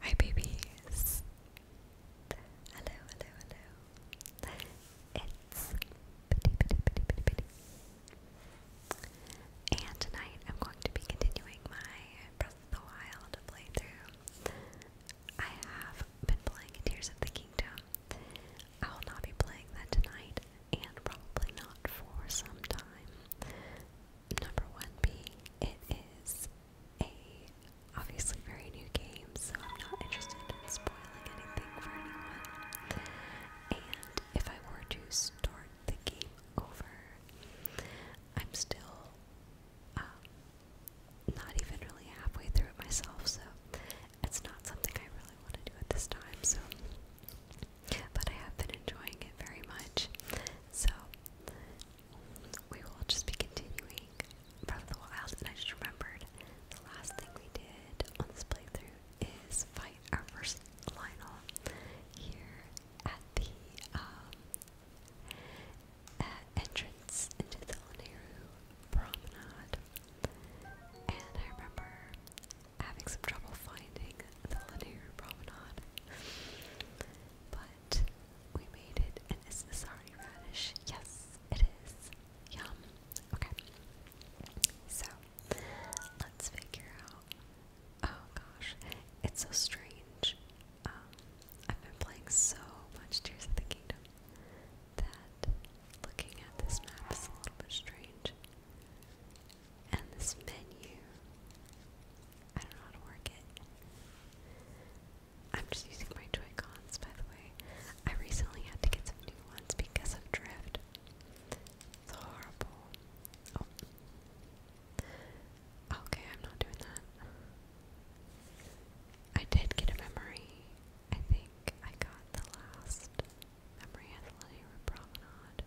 Hi babies! Hello, hello, hello. It's Bitty Bitty Bitty Bitty Bitty. And tonight I'm going to be continuing my Breath of the Wild playthrough. I have been playing Tears of the Kingdom. I will not be playing that tonight and probably not for some time. Number one being it is a obviously very new game, so I'm not interested in spoiling anything for anyone. And if I were to start the game over, I'm still um, not even really halfway through it myself, so it's not something I really want to do at this time. So, but I have been enjoying it very much. So, we will just be continuing Breath the Wild, and I just remembered the last thing we did on this playthrough is fight our first Lionel here at the um, entrance into the Laneru Promenade, and I remember having some trouble finding the Laneru Promenade, but we made it. And this already radish? Yes, it is. Yum. Okay. So, let's figure out. Oh gosh, it's so strange. Um, I've been playing so much Tears of the Kingdom that looking at this map is a strange. And this menu I don't know how to work it. I'm just using my Joy Cons, by the way. I recently had to get some new ones because of drift. It's horrible. Oh. Okay, I'm not doing that. I did get a memory. I think I got the last memory at the Linear Promenade.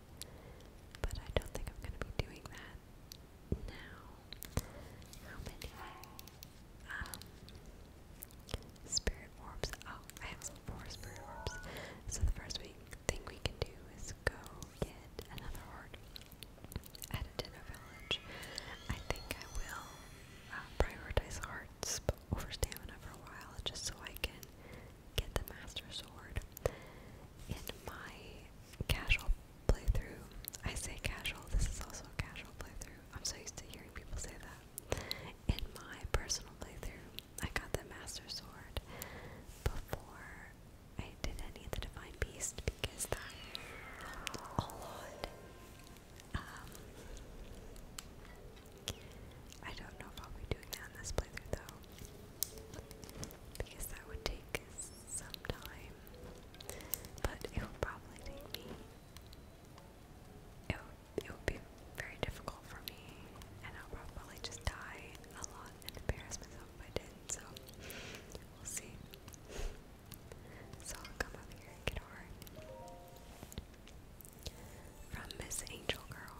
But I don't think I'm going to be doing that now. How many? Um, spirit orbs. Oh, I have four spirit orbs. So the first thing we can do is go get another heart at a dinner village. I think I will uh, prioritize hearts over stamina for a while, just so I can get the master sword. In my casual playthrough. I say casual, this is also a casual playthrough. I'm so used to hearing people say that. In my personal playthrough, I got the Master Sword before I did any of the Divine Beast because that um, I don't know if I'll be doing that in this playthrough though, because that would take some time time. But it will probably take It would, it would be very difficult for me, and I'll probably just die a lot and embarrass myself if I did. So we'll see. So I'll come up here and get From Miss Angel Girl.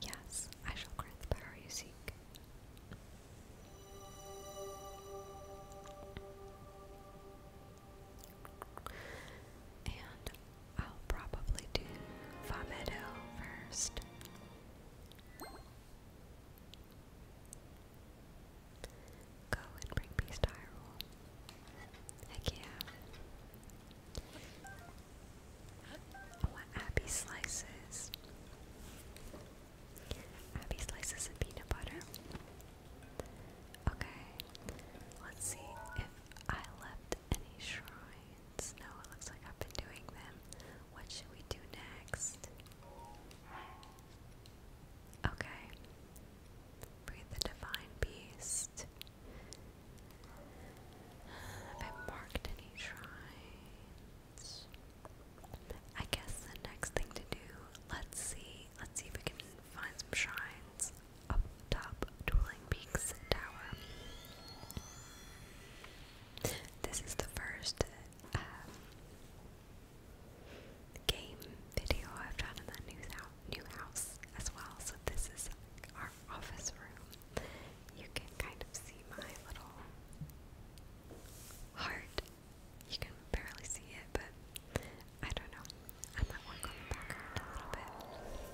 Yes, I shall grant the power you seek. And I'll probably do Vamedo first. Go and bring peace to Heck yeah. Oh, Abby slices. Abby slices and peanut butter. Okay, let's see if I left any shrines. No, it looks like I've been doing them. What should we do next? Okay, breathe the divine beast. Have I marked any shrines? I guess the next thing to do, let's see, let's see if we can find some shrines up top Dueling Peaks Tower. This is the first um, game video I've done in the new, new house as well, so this is our office room you can kind of see my little heart. You can barely see it, but I don't know. I might work on the background a little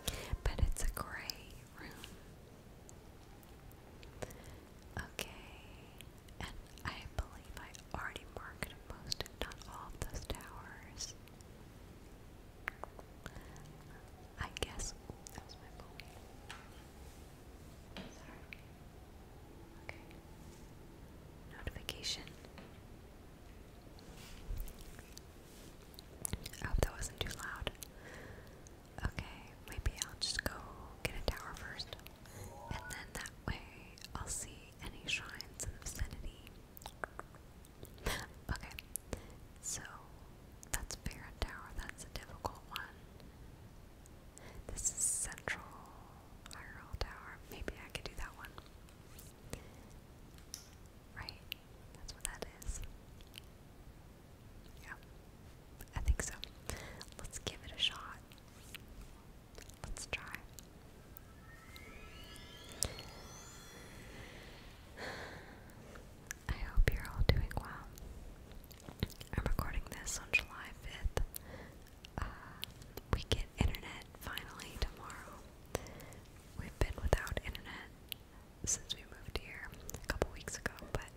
bit. But it's a gray room. Okay, and I believe I already marked most, if not all, of those towers. I guess. that was my phone. Notification. I oh, hope that wasn't too loud. Okay, maybe I'll just go get a tower first. And then that way I'll see any shrines in vicinity. Okay, so that's fair tower, that's a difficult one. This is Central Hyrule Tower. Maybe I could do that one. Right? That's what that is. Yeah. I think so. Let's give it a shot. Let's try. I hope you're all doing well. I'm recording this on July 5th. Uh, we get internet finally tomorrow. We've been without internet since we moved here a couple weeks ago, but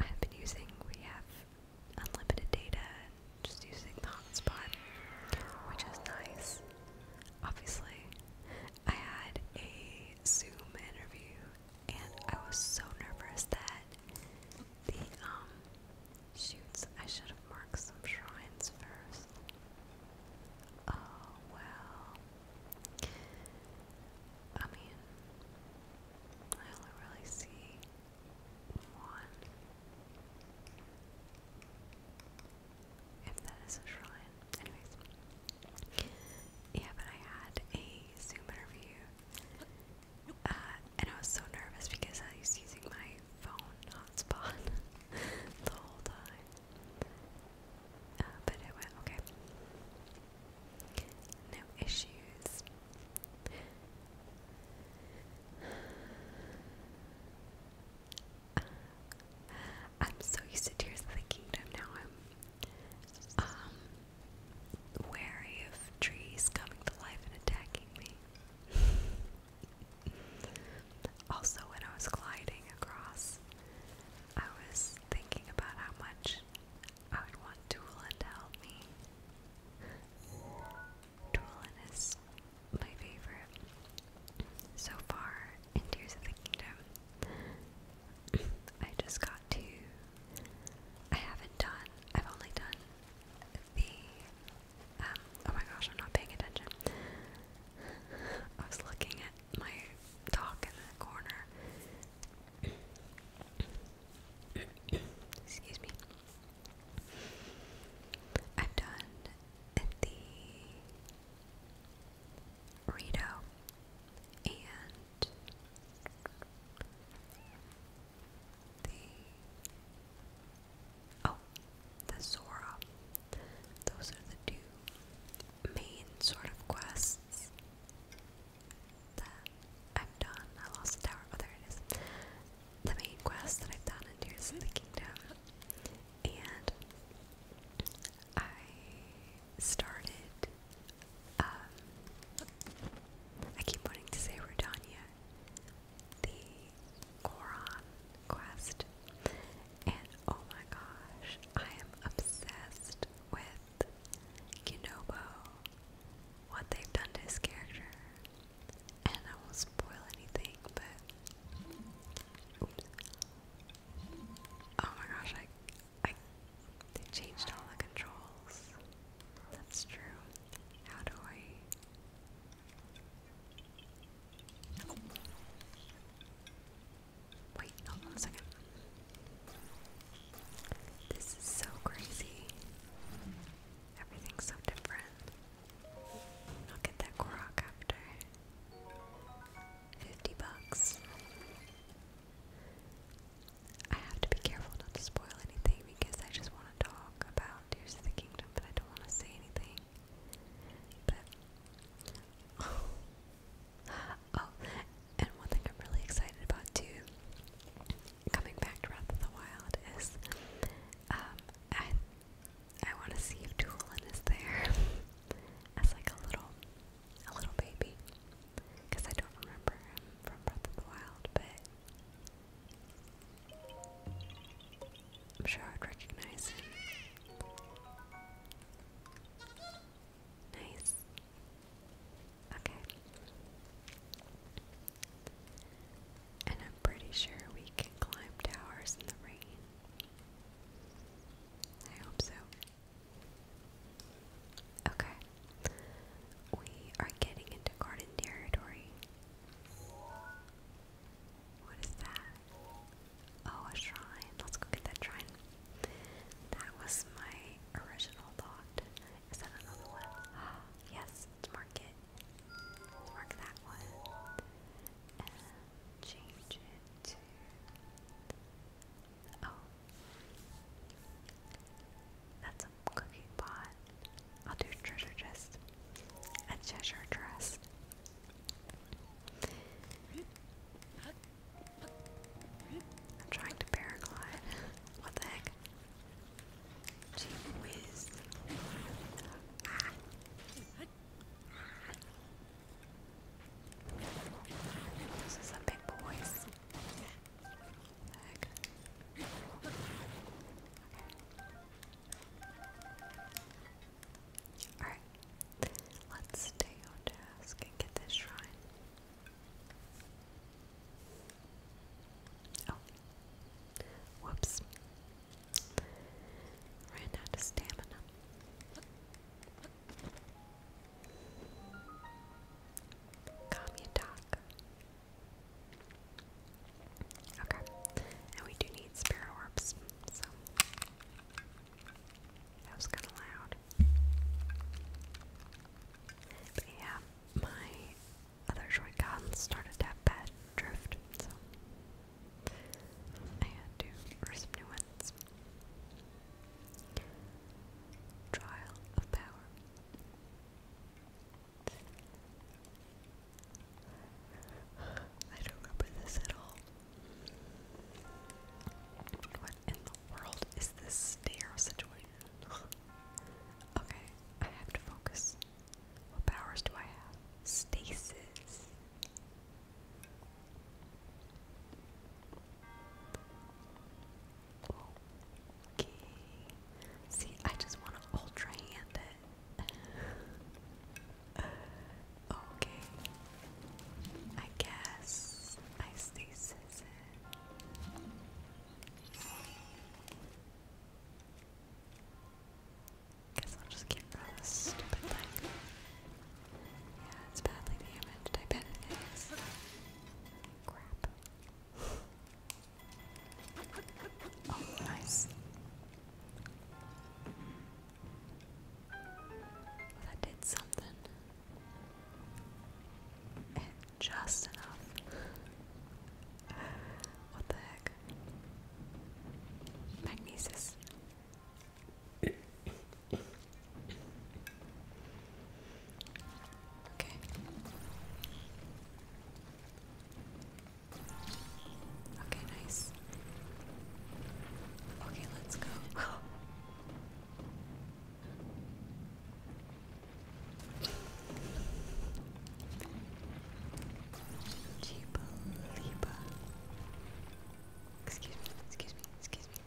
I've been using, we have unlimited data just using the hotspot, which is nice. Obviously, I had a Zoom interview and I was so nervous that the um shoots I should have marked some shrines first. Oh well. I mean I only really see one. If that is a shrine. Anyways. Yeah, but I had a Zoom interview uh, and I was so nervous because I was using my phone hotspot the whole time. Uh, but it went okay. No issues. Uh, I'm so used to Tears of the Kingdom now. I'm um, wary of trees coming to life and attacking me. also, when I was gliding across, I was thinking about how much I would want Doolin to help me. Doolin is my favorite so far in Tears of the Kingdom. I just got to I haven't done, I've only done the, um, oh my gosh, I'm not paying attention. I was looking at my dog in the corner. Excuse me. I've done the Rito and the oh, the Zora. Those are the two main sort of quests that I've done. I lost the tower. Oh, there it is. The main quest that I've done in Tears of the Kingdom, and I started. Um, I keep wanting to say Rudania, the Koran quest, and oh my gosh, I am obsessed with Kinobo, what they've done to his character, and I won't spoil anything, but oh my gosh, I they changed all the controls. That's true. How do I Wait, hold on a second. This is so crazy. Everything's so different. I'll get that Korok after. 50 bucks. I have to be careful not to spoil anything because I just want to talk about Tears of the Kingdom, but I don't want to say anything. But oh, and one thing I'm really excited about too, coming back to Breath of the Wild, is um, I I want to see if Tulin is there as like a little a little baby because I don't remember him from Breath of the Wild, but I'm sure I'd recognize him. Nice. Okay. And I'm pretty sure we can climb towers in the rain. I hope so. Okay. We are getting into garden territory. What is that? Oh, a shrine. Let's go get that shrine. That was my original thought. Is that another one? yes, let's mark that one. And change it to. Oh, that's a cooking pot. I'll do treasure chest. A treasure chest. I'm trying to paraglide. What the heck? Gee whiz. Ah. This is big boys. Alright. Let's stay on task and get this shrine. Oh. Whoops. Ran out of stamina. Kamyata luck. Okay, and we do need spirit orbs, so that was kind of loud. But yeah, my other joy cons started to drift, so I had to order some new ones. Trial of power. I don't remember this at all. What in the world is this stair situation? okay, I have to focus. What powers do I have? Stasis. Okay. See, I just want to ultra hand it. okay. I guess I stay scissor. Guess I'll just keep that stupid thing. Yeah, it's badly damaged. I bet it is. Crap. Oh, nice. That did something. just enough. What the heck? Magnesis. Okay. Okay, nice. Okay, let's go. Excuse me, excuse me, excuse me.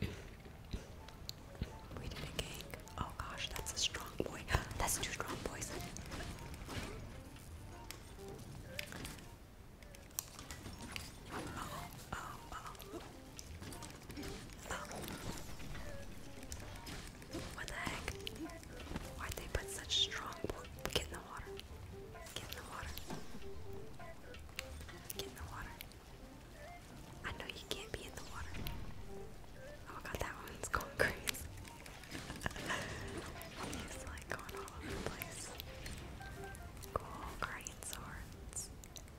We did a gang. Oh gosh, that's a strong boy. That's two strong boys. What the heck? Why'd they put such strong Get in the water. Get in the water. Get in the water. I know you can't be in the water. Oh god, that one's going crazy. He's like going all over the place. Cool, great swords.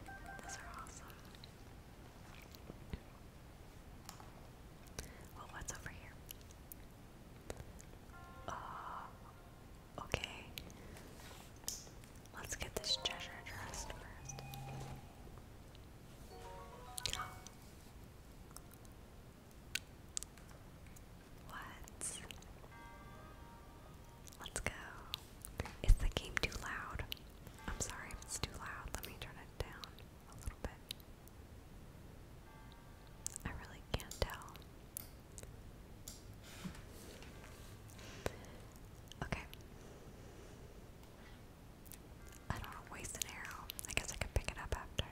Those are awesome. Well, what's over here? Uh, okay. Let's get this treasure dressed first. What? Let's go. Is the game too loud? I'm sorry it's too loud. Let me turn it down a little bit. I really can't tell. Okay. I don't want to waste an arrow. I guess I could pick it up after.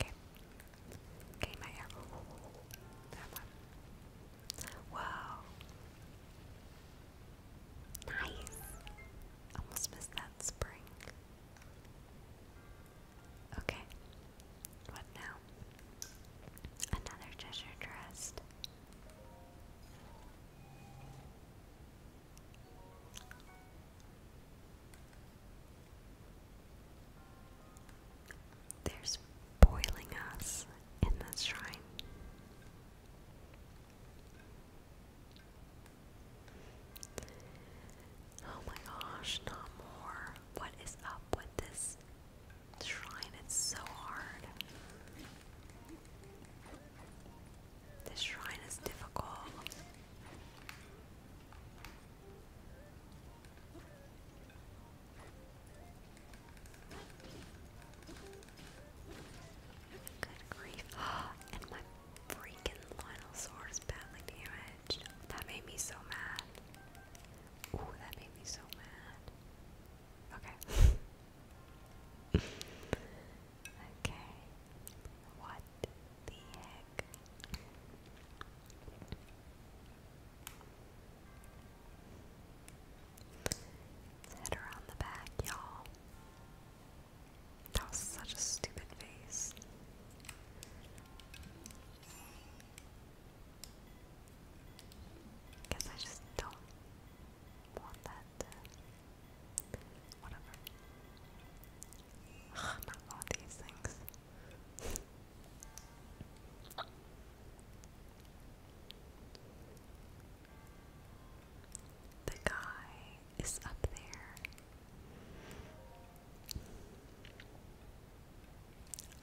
Okay. Okay, my arrow. That one. Wow. Nice. Almost missed that spring. Okay. What now? Another treasure chest. There's boiling us in this shrine. Oh my gosh, not more. What is up with this shrine. It's so hard. This shrine is difficult. Good grief. and my freaking Lionel sword badly damaged. That made me so mad. Ooh, that made me so mad. Okay. okay. What the heck? head around the back, y'all. That was such a stupid face. Guess I just don't want that. Uh, whatever. Ugh, not all these things. The guy is up there.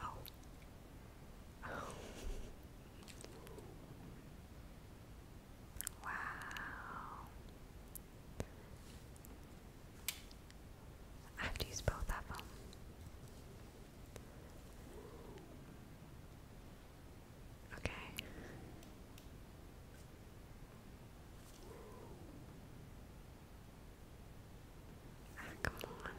Oh. Wow. I have to use both of them. Okay. Ah, come on.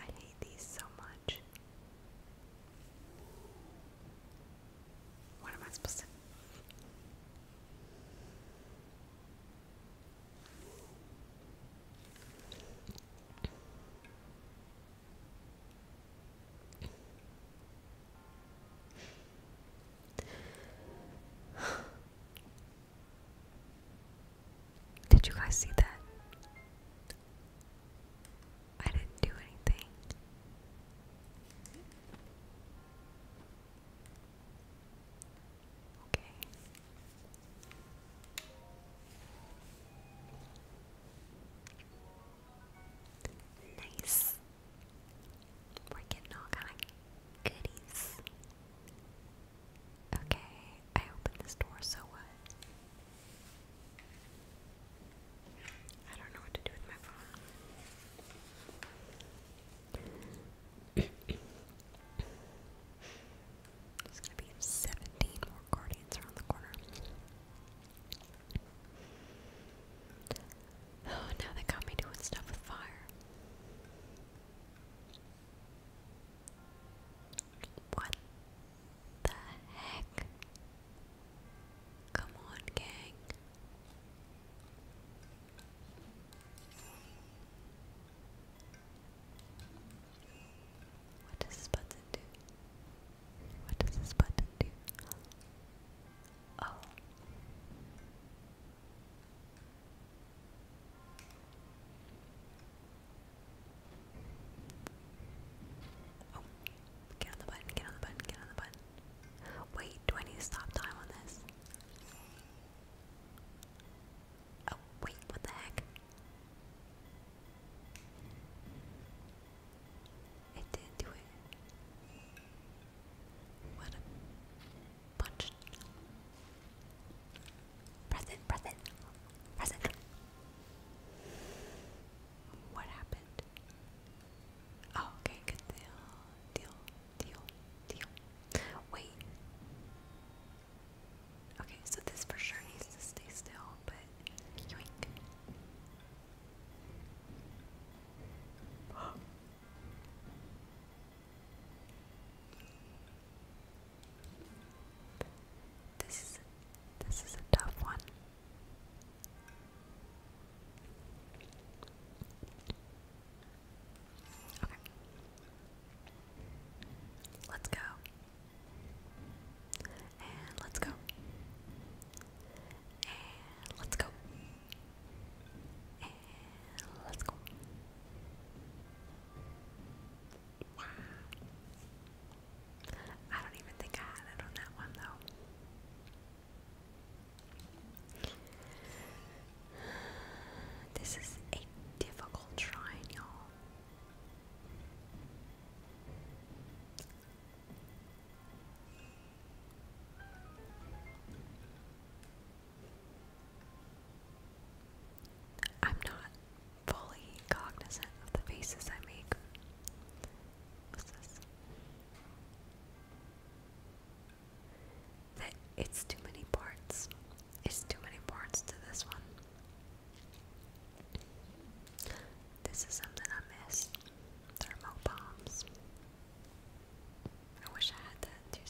I hate these so much. What am I supposed to? Did you guys see that? I didn't do anything. Okay. Nice. We're getting all kind of goodies. Okay, I opened this door, so what? I don't know what to do with my phone. There's gonna be 17 more guardians around the corner. Oh, now they got me doing stuff with fire. What the heck? Come on, gang. What does this button do? What does this button do? Oh. Oh, get on the button, get on the button, get on the button. Wait, do I need to stop time on this? Oh, wait, what the heck? It did do it. What a Press it, press it, press it. What happened? Oh, okay, good deal, deal, deal, deal. Wait. Okay, so this for sure needs to stay still, but This is this is a tough one. Okay. Let's go. let's go. let's go. let's go. Wow. I don't even think I had on that one though. This is a difficult shrine, y'all. I'm not fully cognizant of the faces I make. What's this? That it's too many parts. It's too many parts to this one. This is something I missed. Thermo I wish I had that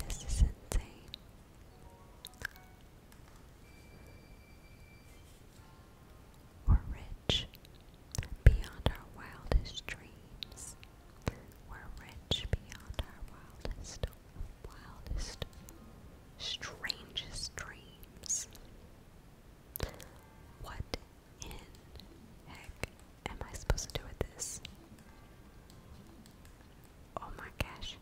This is insane. We're rich beyond our wildest dreams. We're rich beyond our wildest, wildest, strangest dreams. What in heck am I supposed to do with this? Oh my gosh.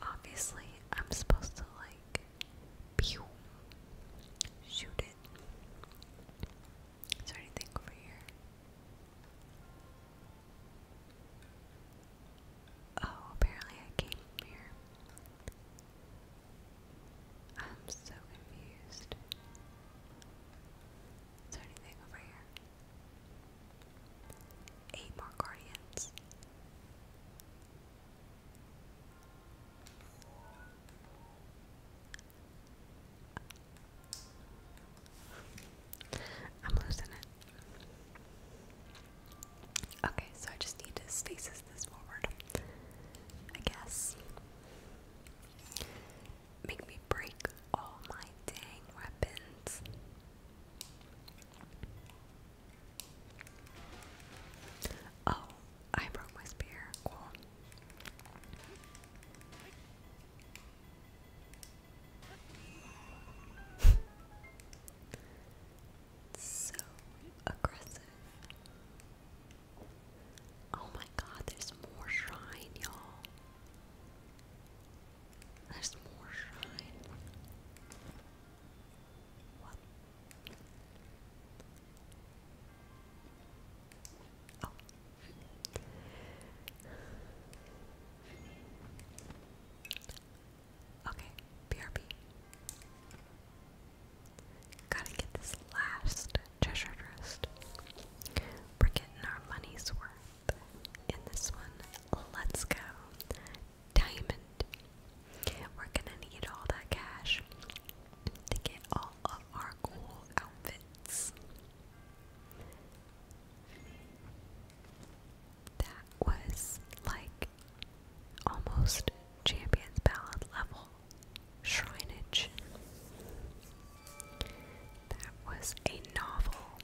Obviously, I'm supposed to like Shoot it. Is there anything over here? Oh, apparently I came here. I'm so confused. Is there anything over here? Eight more guardians. I'm losing it. Okay, so I just need to stasis this forward. I guess. Make me break all my dang weapons. Oh, I broke my spear. Cool. so aggressive. Oh my god, there's more shrine, y'all. There's more shrine. Oh. Okay, BRB. Gotta get this last treasure trust. We're getting our money's worth in this one. Let's go. Diamond. We're gonna need all that cash to get all of our cool outfits. That was like almost Champions Ballad level shrineage. That was a novel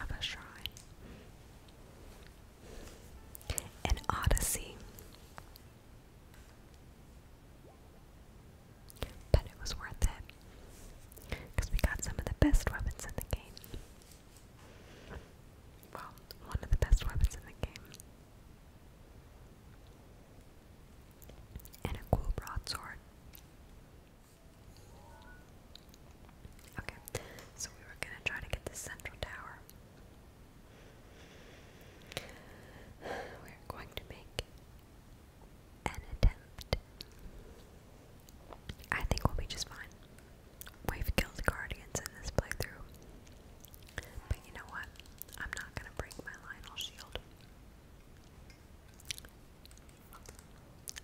of a shrine. An Odyssey. But it was worth it. Because we got some of the best weapons in the game. Well, one of the best weapons in the game. And a cool broadsword. Okay, so we were gonna try to get the central tower. We're going to make an attempt. I think we'll be just fine. We've killed guardians in this playthrough. But you know what? I'm not gonna break my Lionel shield.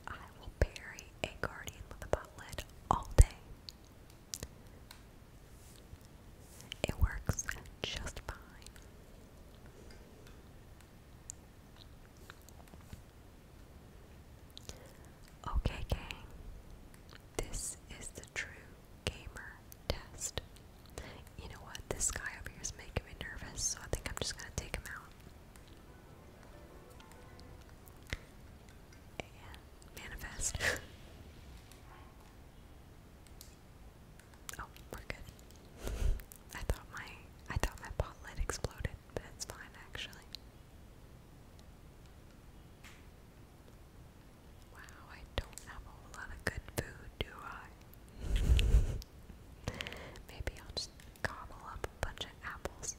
I will bury a guardian with a butt lid all day. It works just fine. Okay, gang, this is the true gamer test. You know what? This guy over here is making me nervous, so I think I'm just gonna take him out. And manifest. Oh, we're good. I thought my I thought my pot lid exploded, but it's fine actually. Wow, I don't have a lot of good food, do I? Maybe I'll just gobble up a bunch of apples.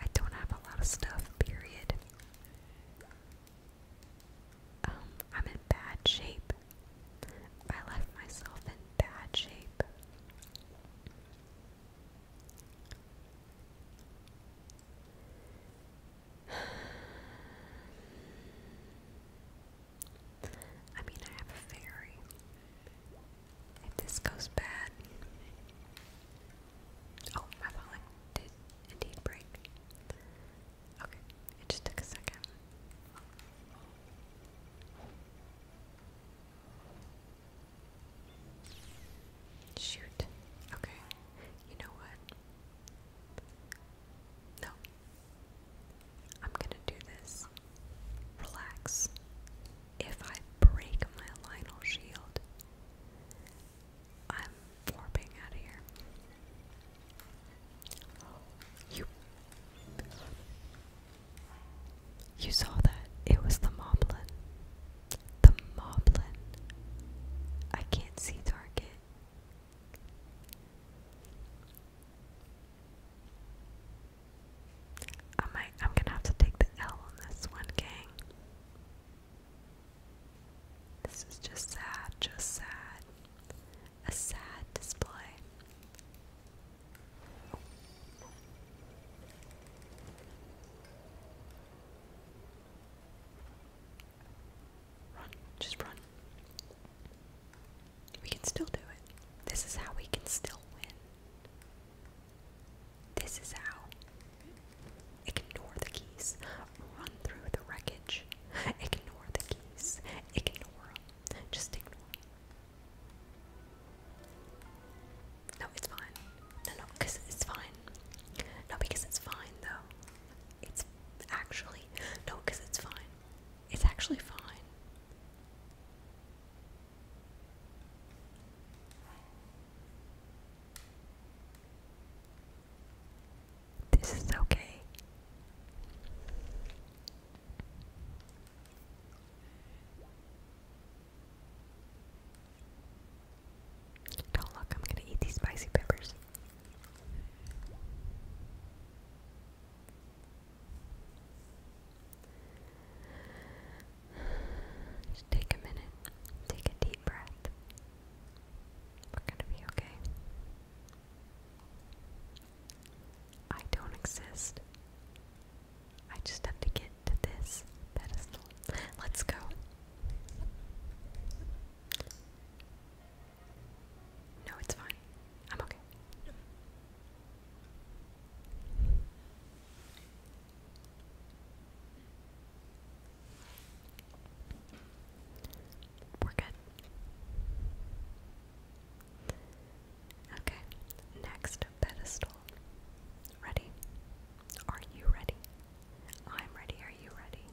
I don't have a lot of stuff, period. Um, I'm in bad shape. I left myself in bad shape. I mean, I have a fairy. If this goes bad, Oh, my falling did indeed break. Okay, it just took a second. Shoot. Okay. You know what? No. I'm gonna do this. Relax if I break my Lionel shield, I'm warping out of here. You You saw that. It was the moblin. The moblin. I can't see target. I might I'm gonna have to take the L on this one, gang. This is just sad, just sad. A sad display. Run, just run. We can still do it. This is how we can still win. This is how. Ignore the keys. Run through the wreckage. Ignore the keys. Ignore Just ignore No, it's fine. No, no, because it's fine. No, because it's fine, though. It's actually. No, because it's fine. It's actually fine. This is okay. Don't look, I'm gonna eat these spicy peppers. Just take a minute, take a deep breath. We're gonna be okay. I don't exist. I just have to get to this pedestal. Let's go. No, it's fine. I'm okay. We're good. Okay, next pedestal. Ready? Are you ready? I'm ready. Are you ready?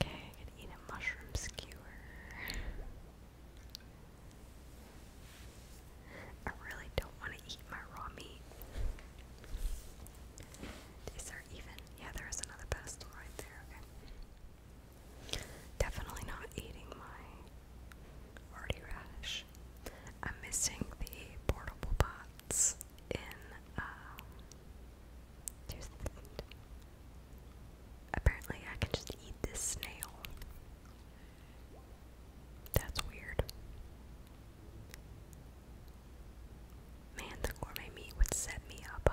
Okay, I could eat a mushroom skewer. I really don't want to eat my raw meat. Is there even? Yeah, there is another pedestal right there. Okay. Definitely not eating my hardy radish. I'm missing the portable pots in. Um, Apparently, I can just eat this snail. That's weird. Man, the gourmet meat would set me up,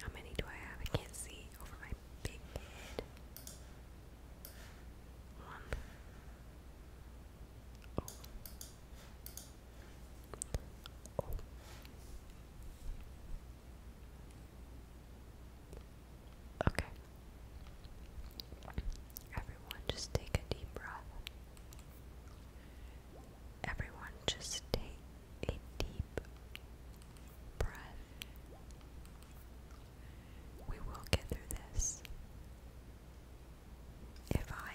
How many do I have? I can't see over my big head. One. Oh. oh. Okay. Everyone, just take a deep breath. Everyone, just take a deep breath. We will get through this. If I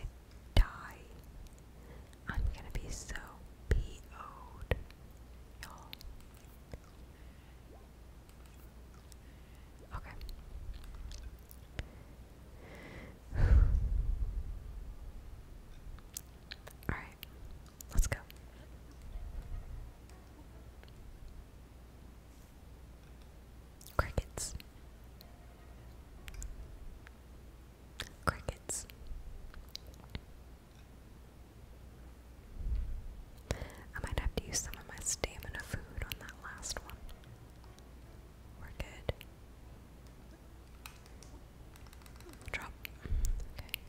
die, I'm gonna be so PO'd, y'all. Okay. Alright, let's go. Crickets. Crickets. I might have to use some of my stamina food on that last one. We're good. Drop. Okay.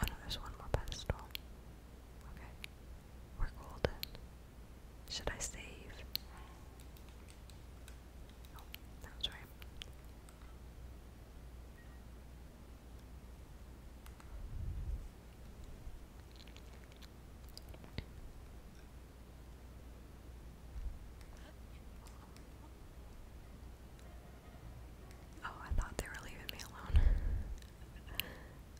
Oh no, there's one more pedestal. Okay. We're golden. Should I save? Oh, right. Oh, I thought they were leaving me alone.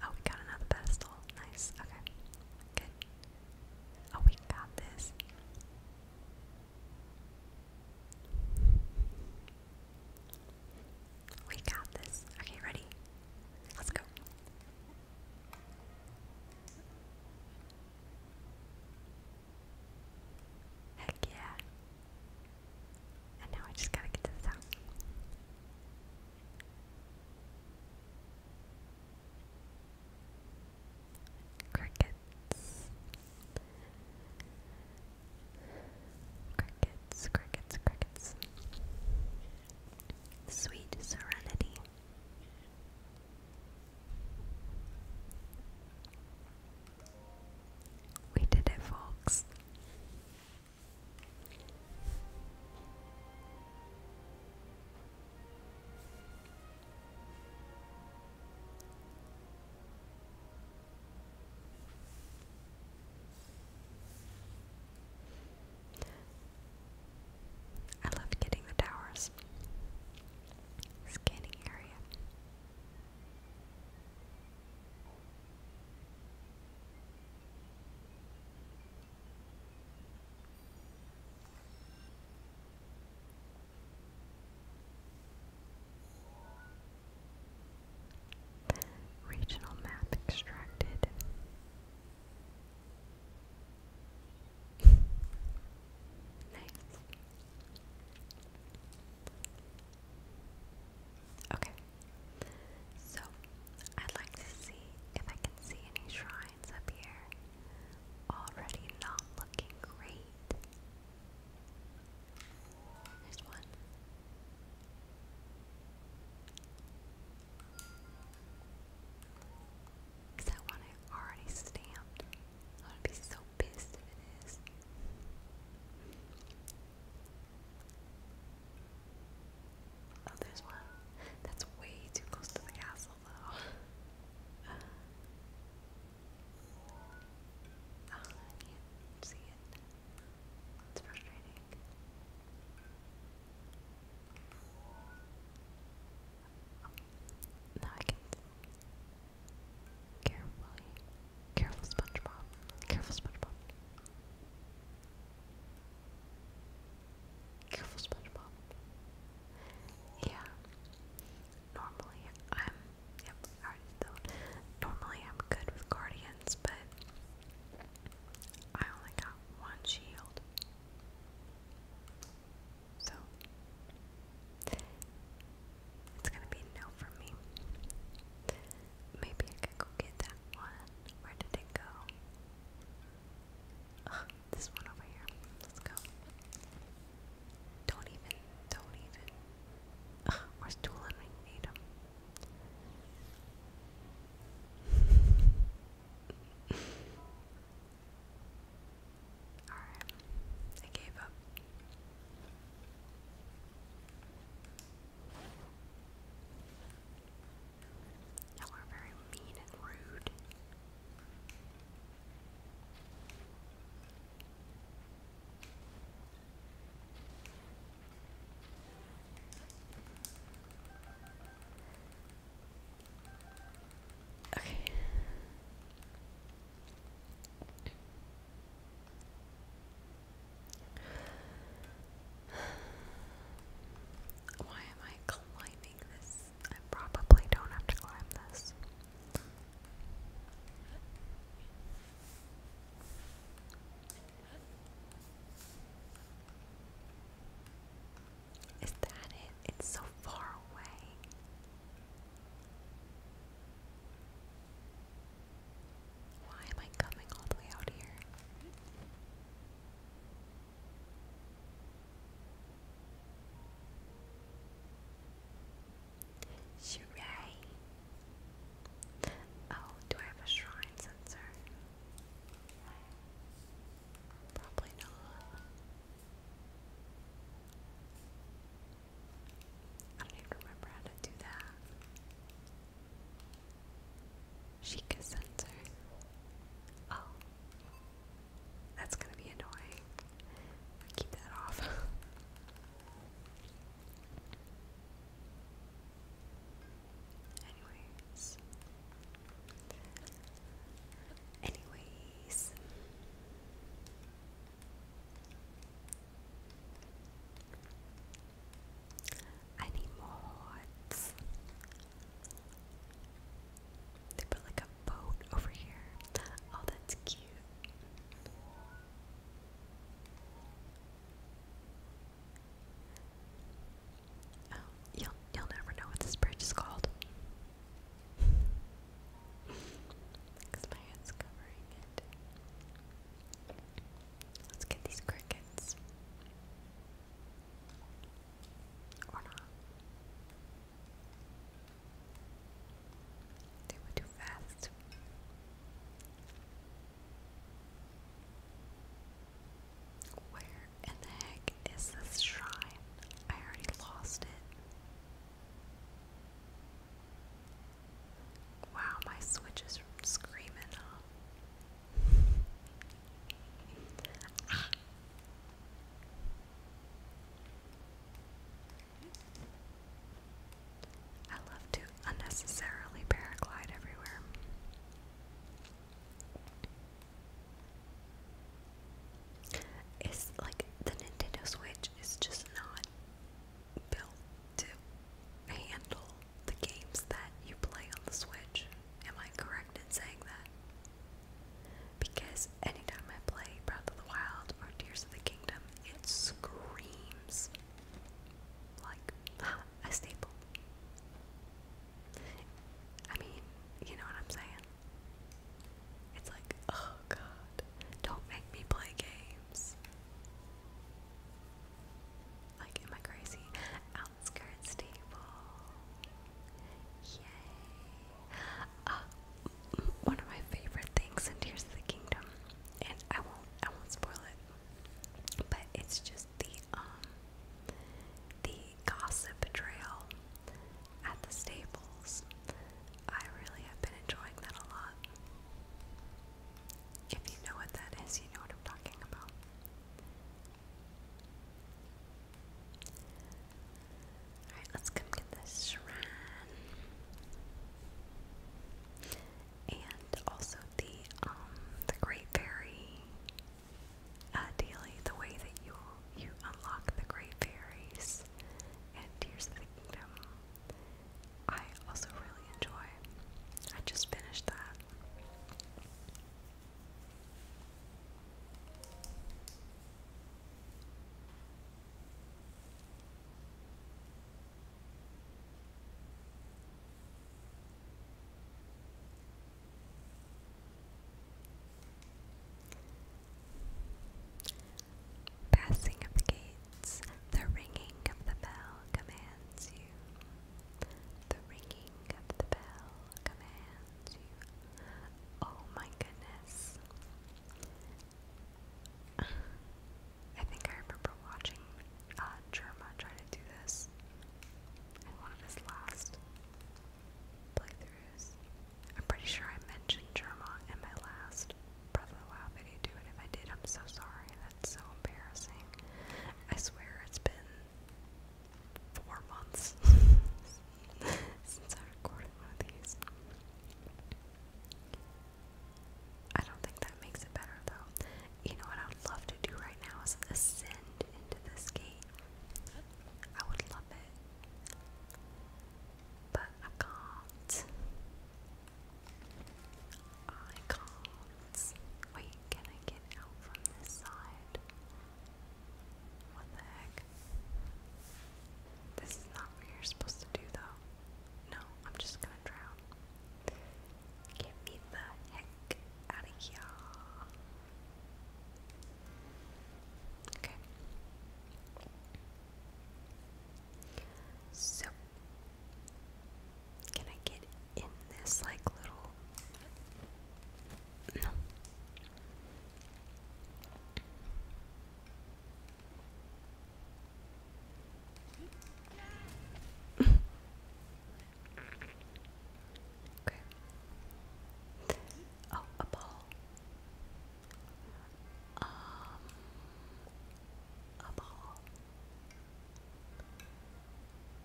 oh, we got another pedestal. Nice. Okay. Good. Oh, we got this. We got this. Okay, ready? Let's go. Heck yeah. And now I just gotta get to the top. Crickets. Crickets, crickets, crickets. Sweet Serenity. We did it, folks. I love getting the towers. Scanning area. Regional map extracted nice. Okay. So, I'd like to see if I can see any shrines up here. Already not looking great. There's one. Because I want it already stamped. I would be so pissed if it is. Oh, there's one. That's way too close to the castle, though. oh, I see it. It's frustrating. Now I can carefully, careful SpongeBob, careful SpongeBob, careful SpongeBob. Yeah. Normally I'm, yep, I already Normally I'm good with guardians, but I only got one shield. So it's gonna be no for me. Maybe I could go get that one. Where did it go? this one over here. Let's go. Don't even, don't even. where's Doolin? We need him. Alright. I gave up. Y'all are very mean and rude. Okay. Why am I climbing this? I probably don't have to climb this. Is that it? It's so far away. Why am I coming all the way out here? Shrine. Oh, do I have a shrine sensor? Probably not. I don't even remember how to do that. Sheikah sensor. Oh. That's gonna be annoying. keep that off. Anyways, Anyways, I need more hearts. They put like a boat over here. Oh, that's cute. Oh, you'll you'll never know what this bridge is called. Because my hand's covering it. Let's get these crickets. Or not. They were too fast. Where in the heck is this shrine? I already lost it. Wow, my switch is screaming I love to unnecessarily paraglide everywhere. It's like the Nintendo Switch is just not built to handle the games that you play on the Switch. Am I correct in saying that? Because anytime I play Breath of the Wild or Tears of the Kingdom, it screams like a staple. I mean, you know what I'm saying? It's like, oh god, don't make me play games. Like, am I crazy? Outskirts stable. Yay. Uh, one of my favorite things in Tears of the Kingdom, and I won't, I won't spoil it, but it's just the, um, the gossip trail at the stables. I really have been enjoying that a lot. If you know what that is, you know what I'm talking about. Alright, let's come get this shrine. And also the um, the Great Fairy uh, ideally the way that you you unlock the Great Fairies and Tears of the Kingdom. I also really enjoy. I just finished that. Passing of the gates, the ringing of the bell commands you. The ringing of the bell commands you. Oh my goodness. I think I remember watching uh, Germa trying to do this in one of last playthroughs. I'm pretty sure I mentioned Germa in my last Breath of the Wild video Do it if I did, I'm so sorry. That's so embarrassing. I swear it's been four months since I recorded one of these. I don't think that makes it better though. You know what I would love to do right now is ascend into this gate. I would love stop But I can't. I can't. Wait, can I get out from this side? What the heck? This is not what you're supposed to do, though. No, I'm just gonna drown. Get me the heck out of here. Okay. So, can I get in this like little? No. Okay. Oh, a ball. Um, a ball.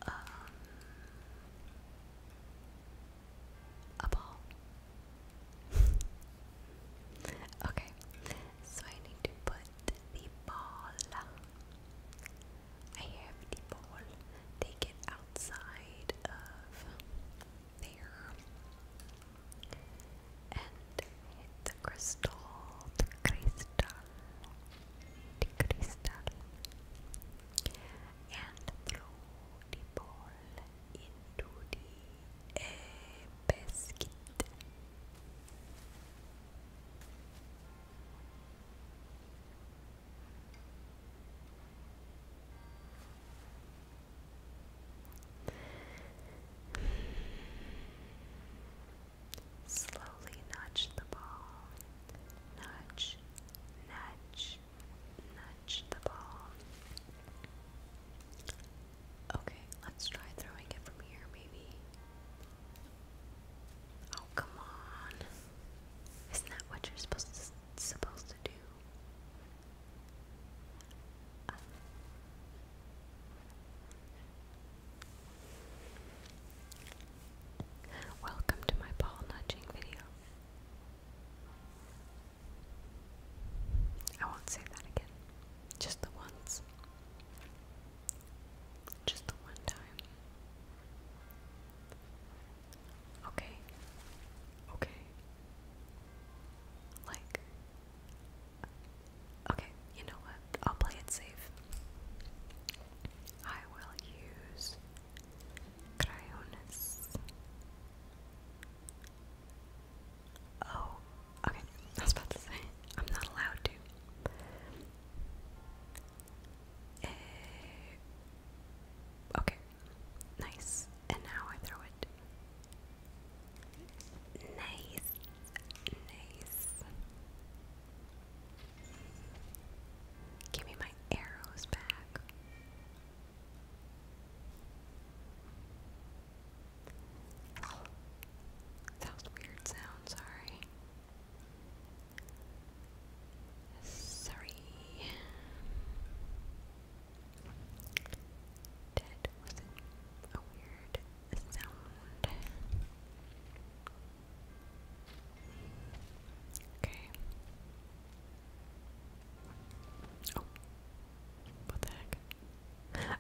Um, a ball. okay, so I need to put the ball. I have the ball. Take it out outside of there and hit the crystal, the crystal, the crystal, and throw the ball into the uh, basket. Slowly nudge the ball. Nudge, nudge, nudge the ball. Okay, let's try throwing it from here, maybe. Oh, come on. Isn't that what you're supposed to supposed to do. welcome to my ball nudging video. I won't say that again. Just the once. Just the one time. Okay. Okay. Like Okay, you know what? I'll play it safe. I will use crayones. Oh, okay. I was about to say I'm not allowed to. Eh, Okay, nice. And now I throw it. Nice, nice. Give me my arrows back. that was weird sound, sorry. Sorry. Dead was a weird sound. Okay. Oh. What the heck?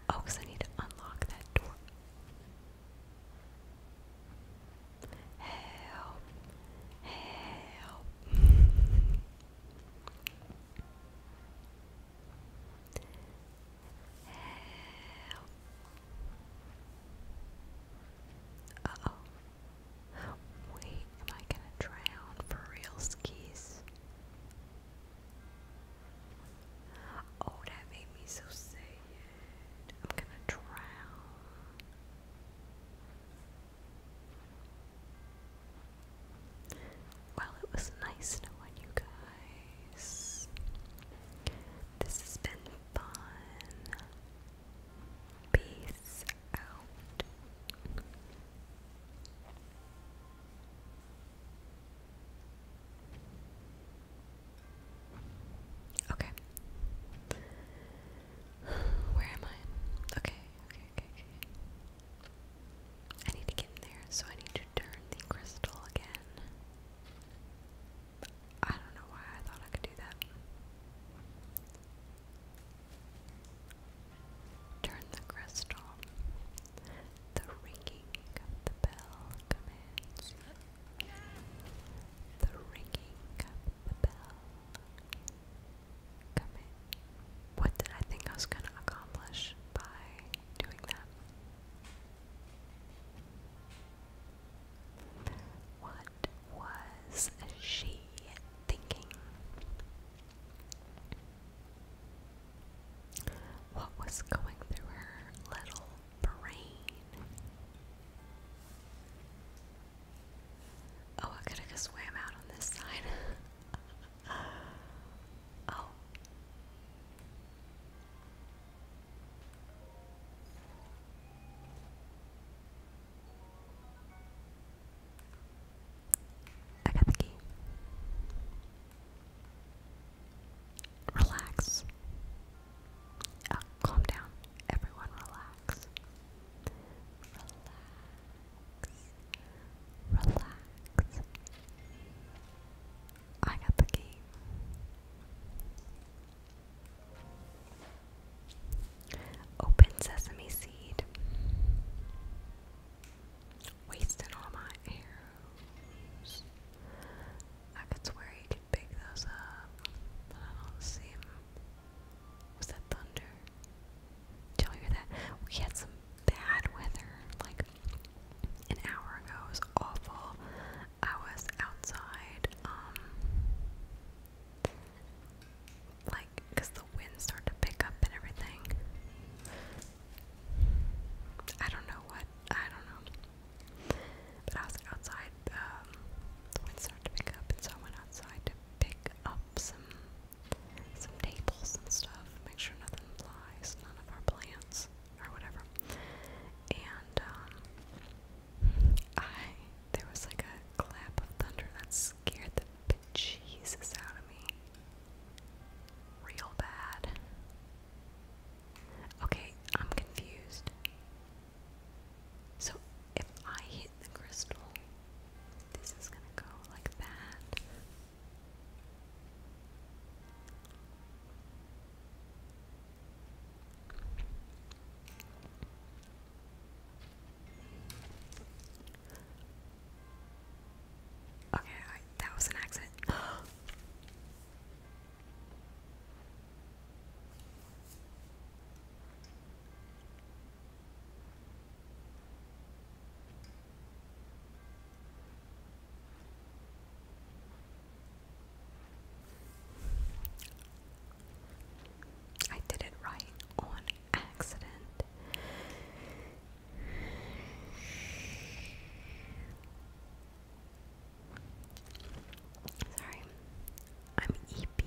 Oh, I need to unlock that door. Help. Help. Uh oh. Wait, am I gonna drown for real skis? Oh, that made me so sad. I'm gonna drown. Well, it was nice knowing you guys. This has been fun. Peace out. Okay. Where am I? Okay, okay. I need to get in there, so I need to turn the crystal again. I don't know why I thought I could do that. Turn the crystal. The ringing of the bell commands. The ringing of the bell what did I think I was going to accomplish by doing that? What was she thinking? What was going through her little brain? Oh, I could have swam out on this side. oh. I got the key. Relax. Oh, calm down. Everyone relax relax, relax. I got the game. Open sesame seed. Wasting all my arrows. I could swear you could pick those up, but I don't see them. Was that thunder? Did you that? We had some bad weather like an hour ago. It was awful. I was outside, um, the wind started to pick up and everything. I don't know what, I don't know. But I was outside, um, the wind started to pick up, and so I went outside to pick up some some tables and stuff, make sure nothing flies, none of our plants or whatever. And um, I there was like a clap of thunder that scared the Jesus out of me, real bad. Okay, I'm confused. So if I hit the crystal this is gonna go like that. Okay, that was an accident. I did it right on accident. Sorry, I'm EP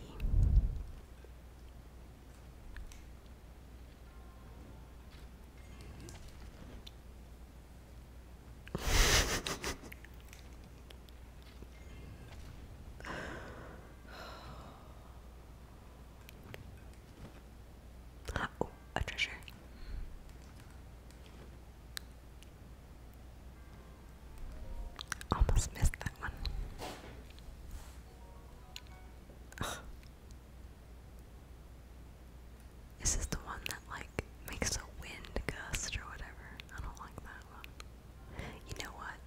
oh, a treasure. Almost missed that one. This the one that like makes a wind gust or whatever. I don't like that one. You know what?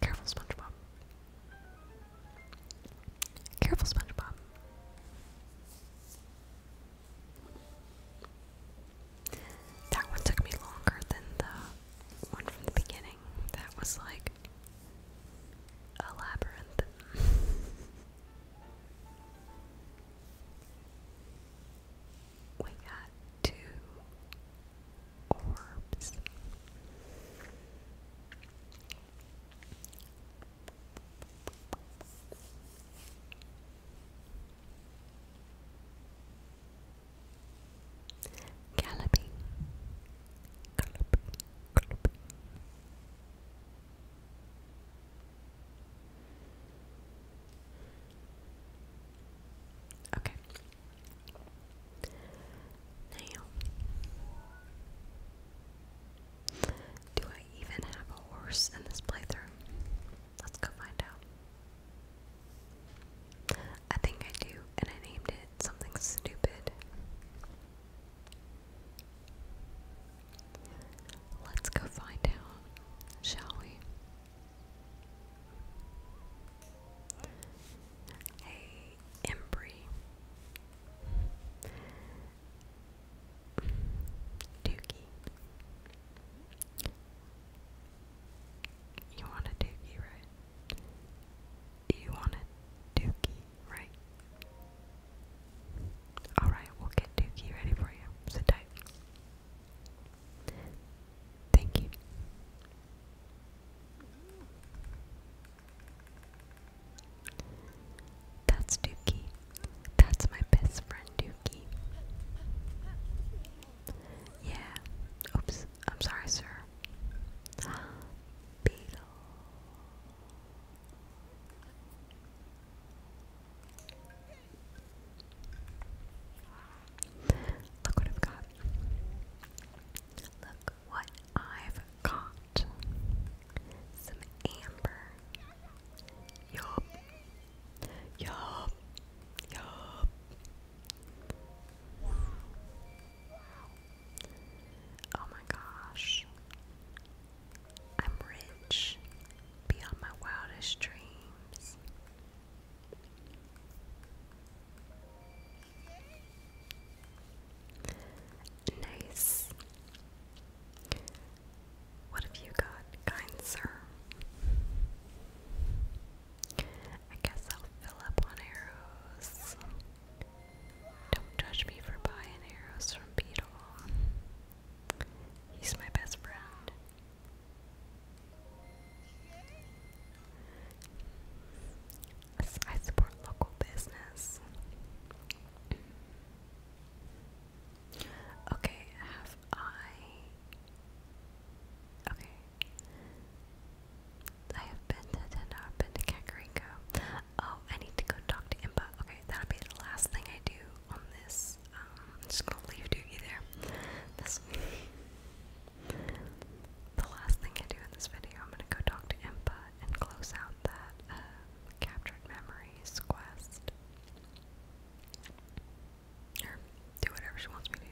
Careful, SpongeBob. Careful, SpongeBob. That one took me longer than the one from the beginning. That was like a labyrinth. we got two orbs. Galloping, galloping, galloping. Okay. Now do I even have a horse in this playthrough? Let's go find out. I think I do, and I named it something stupid. Let's go find out, shall we? Hey, Embry. Dookie. You want a dookie, right? You want a dookie, right? Alright, we'll get dookie ready for you. Sit tight. Thank you. That's Dookie. That's my best friend, Dookie. Yeah. Oops. I'm sorry, sir. Beetle. Look what I've got. Look what I've got. Some amber. Yup. Yup. Yup. Oh my gosh. I'm rich beyond my wildest dreams. Nice. What have you got, kind sir? I guess I'll fill up on arrows. Don't judge me for buying arrows from Beetle. He's my best friend. I support local business. Okay, have I. Okay. I have been to Tendo, I've been to Kakariko. Oh, I need to go talk to Impa. Okay, that'll be the last thing I do on this. Um, I'm just gonna leave Doogie there. This. the last thing I do in this video, I'm gonna go talk to Impa and close out that uh, captured memories quest. Or do whatever she wants me to do.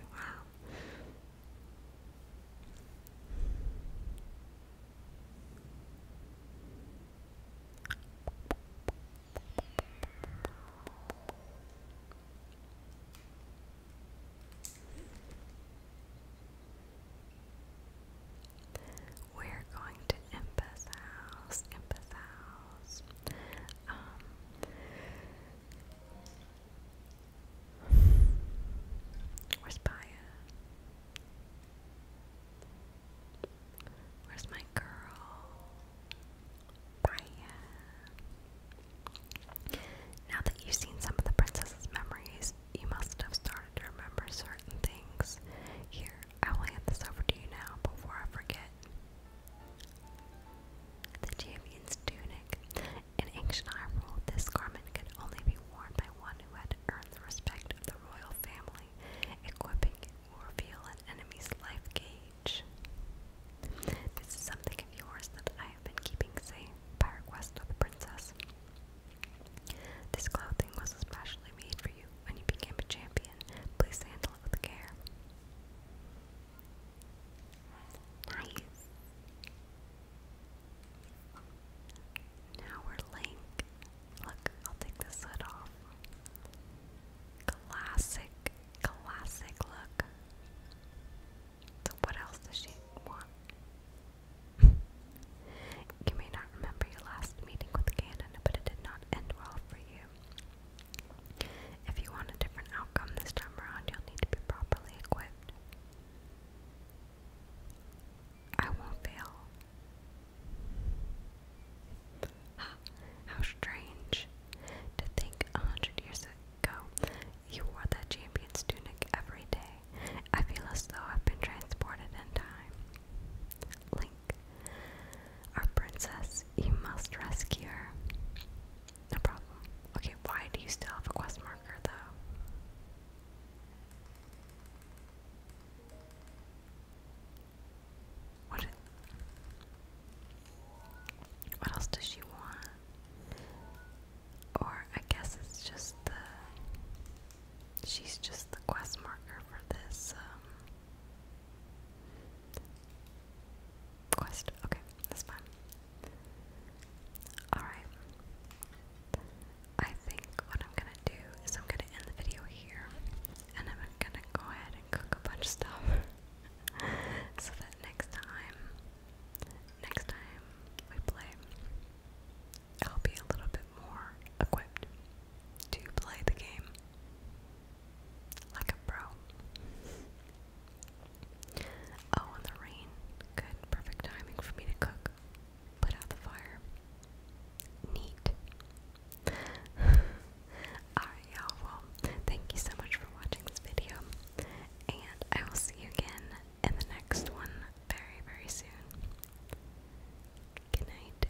We're going to Impa's house, Impa's house. Um, where's Paya? Where's my girl? Paya. Now that you've seen some of the princess's memories, you must have started to remember certain things. Here I will hand this over to you now before I forget. The champion's tunic. In ancient Iron rule, this garment can only be worn by one who had earned the respect of the royal family. Equipping it will reveal an enemy's life gauge. This is something of yours that I have been keeping safe by request of the princess. This clothing was especially made for you when you became a champion, please handle it with care. Nice. Now we're Link. Look, I'll take this hood off. Classic, classic look. what else does she want? you may not remember your last meeting with Ganon, but it did not end well for you. If you want a different outcome this time around, you'll need to be properly equipped. I won't fail. How strange to think a hundred years ago you wore that champion's tunic every day. I feel as though I've been transported in time. Link. Our princess, you must rescue her. No problem. Okay, why do you still have a quest marker though? What? What else does she want? Or I guess it's just the. She's just the quest marker for this um, Quest. Okay, that's fine. Alright. I think what I'm gonna do is I'm gonna end the video here and I'm gonna go ahead and cook a bunch of stuff so that next time next time we play I'll be a little bit more equipped to play the game. Like a pro. Oh, and the rain. Good, perfect timing for me to cook. Put out the fire. Neat. Alright, you Well, thank you so much for watching this video. And I will see you again in the next one very, very soon. Good night.